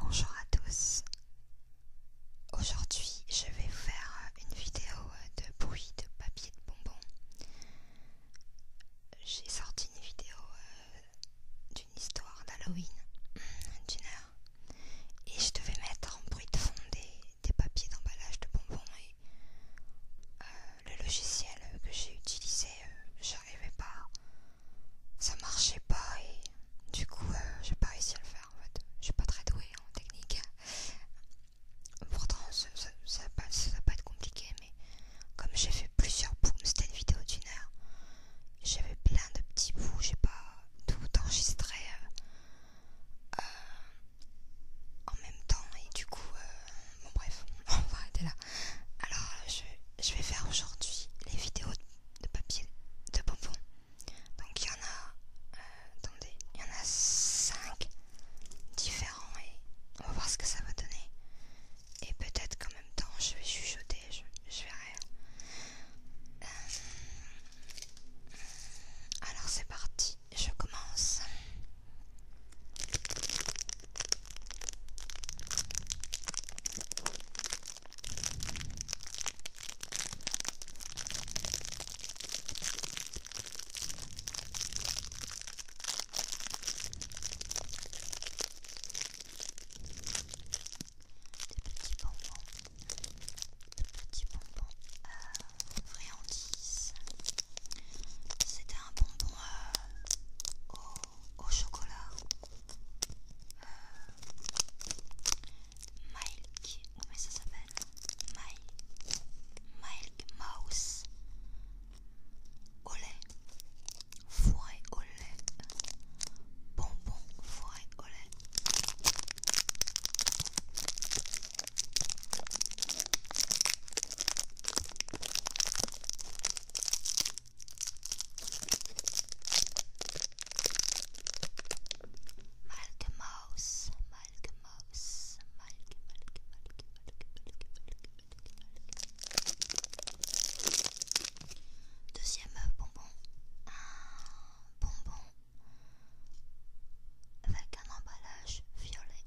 Bonjour à tous. Aujourd'hui, je vais faire une vidéo de bruit de papier de bonbons. J'ai sorti une vidéo euh, d'une histoire d'Halloween d'une heure et je devais mettre en bruit de fond des, papiers d'emballage de bonbons et euh, le logiciel que j'ai utilisé, euh, j'arrivais pas, ça marchait pas et du coup euh, j'ai pas réussi à le faire en fait. Je suis pas très douée en technique. Pourtant ça, va, pas, être compliqué mais comme j'ai fait plusieurs booms, c'était une vidéo d'une heure, j'avais plein de petits bouts, j'ai pas tout enregistré euh, en même temps et du coup bon bref, on va arrêter là. Alors je, vais faire aujourd'hui les vidéos de papier de bonbons. Donc il y en a, euh, attendez, il y en a 5 différents et on va voir ce que ça va donner. Et peut-être qu'en même temps je vais chuchoter, je, je verrai. Euh, alors c'est parti, je commence petits bonbons, de petits bonbons à friandises. C'était un bonbon euh, au, chocolat. Euh, Mike, comment ça s'appelle Mike, Milk Mouse. Au lait. Fourré au lait. Bonbon fourré au lait. Malk Mouse, Mouse, Deuxième bonbon, un bonbon avec un emballage violet.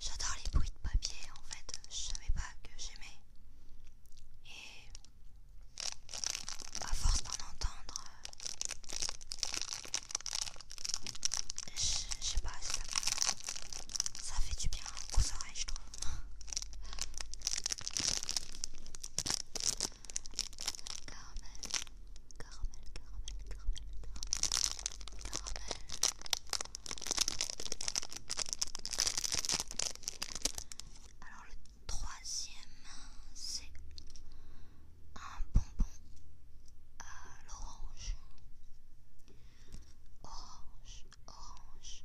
J'adore les bruits de papier en fait, je savais pas que j'aimais. Et à force d'en entendre, je sais pas, ça, ça fait du bien Ça oreilles, je trouve. Caramel, caramel, caramel, caramel, caramel. Alors le troisième, c'est un bonbon à euh, l'orange, orange, orange.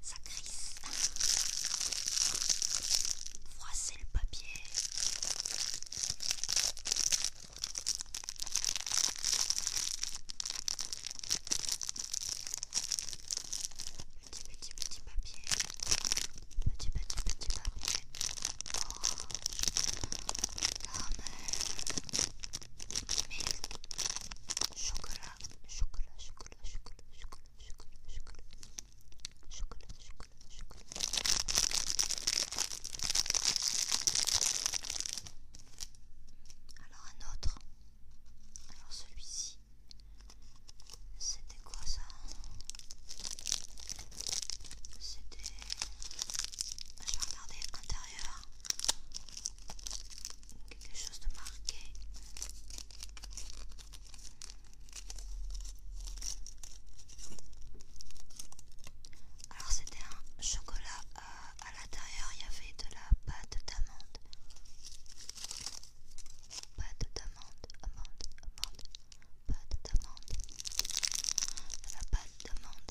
ça crisse. Froissez le papier. Petit, petit, petit papier. Petit, petit, petit papier. Oh, caramel, mille, chocolat, chocolat, chocolat chocolat, chocolat, chocolat, chocolat, chocolat, chocolat, chocolat, chocolat. Alors un autre. Alors celui-ci. C'était quoi ça C'était... Je vais regarder l'intérieur quelque chose de marqué. Alors c'était un chocolat euh, à l'intérieur, il y avait de la pâte d'amande. Pâte d'amande, amande, amande, pâte d'amande. la pâte d'amande.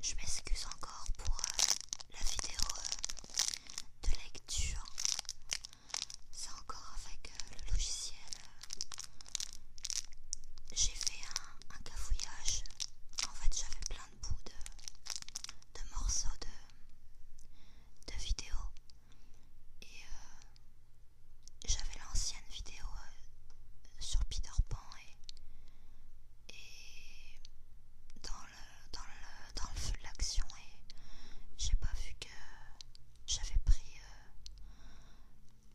Je m'excuse encore pour euh, la vidéo euh, de lecture. C'est encore avec euh, le logiciel j'ai fait un, un cafouillage. En fait, j'avais plein de bouts de, de morceaux de, de vidéos. Et euh, j'avais l'ancienne vidéo euh, sur Peter Pan et, et dans le dans le dans le feu de l'action et j'ai pas vu que j'avais pris euh,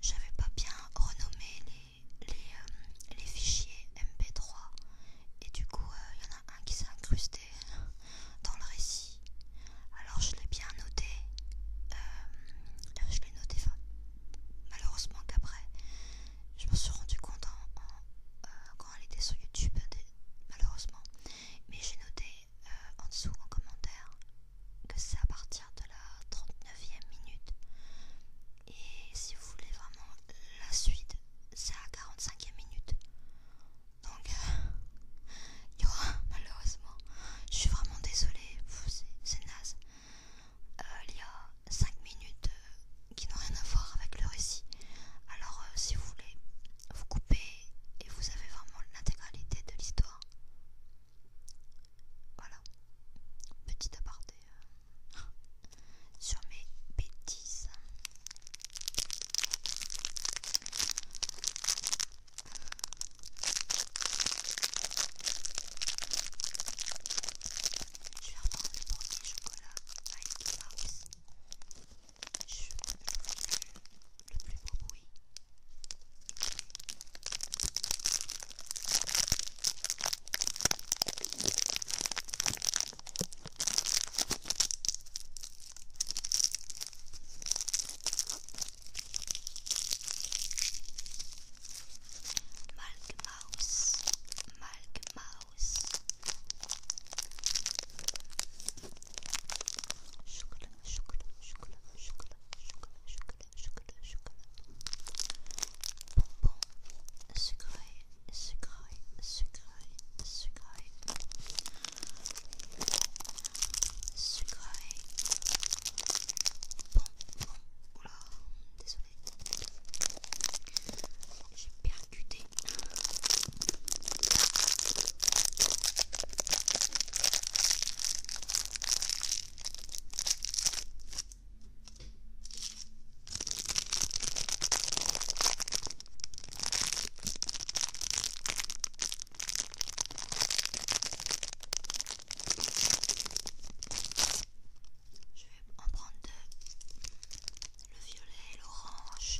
j'avais pas bien renommé les, les, euh, fichiers MP3 et du coup il euh, y en a un qui s'est incrusté dans le récit. Alors je l'ai bien noté. Euh, je l'ai noté Malheureusement qu'après, je me suis rendu compte quand elle était sur YouTube, malheureusement. Mais j'ai noté en dessous en commentaire que c'est à partir de la 39e minute. Et si vous voulez vraiment la suite, c'est à 45e minute. Donc, euh, y aura malheureusement, je suis vraiment désolée, c'est naze. Euh, il y a 5 minutes euh, qui n'ont rien à voir avec le récit. Alors, si vous voulez, vous coupez et vous avez vraiment l'intégralité de l'histoire. Voilà, petit aparté euh, sur mes bêtises. Je vais reprendre le premier chocolat avec la Je ne veux plus le plus beau bruit. Malk Mouse, Mouse. Chocolat, chocolat, chocolat, chocolat, chocolat, chocolat, chocolat, chocolat. désolé. J'ai percuté. Je vais en prendre deux, le violet et l'orange.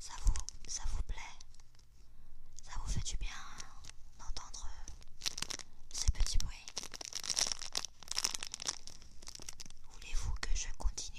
Ça vous, ça vous plaît Ça vous fait du bien d'entendre ces petits bruits Voulez-vous que je continue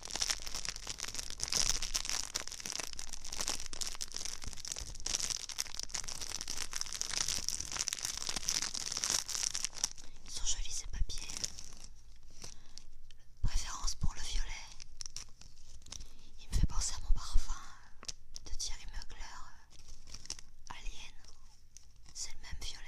Ils sont jolis ces papiers. Préférence pour le violet. Il me fait penser à mon parfum de Thierry Mugler, euh, Alien. C'est le même violet.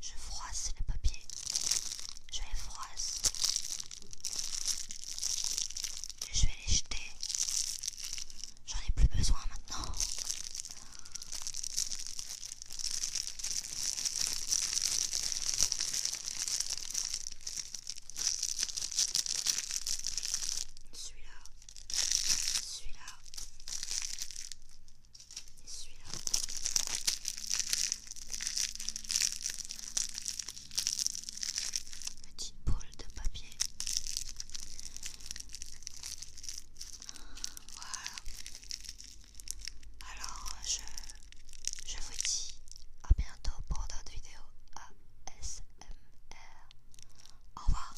Je froisse les papier. Je les froisse. Et je vais les jeter. J'en ai plus besoin maintenant. Celui-là, celui-là, et Petite boule de papier. Voilà. Alors, euh, je, je vous dis à bientôt pour d'autres vidéos ASMR. Au revoir.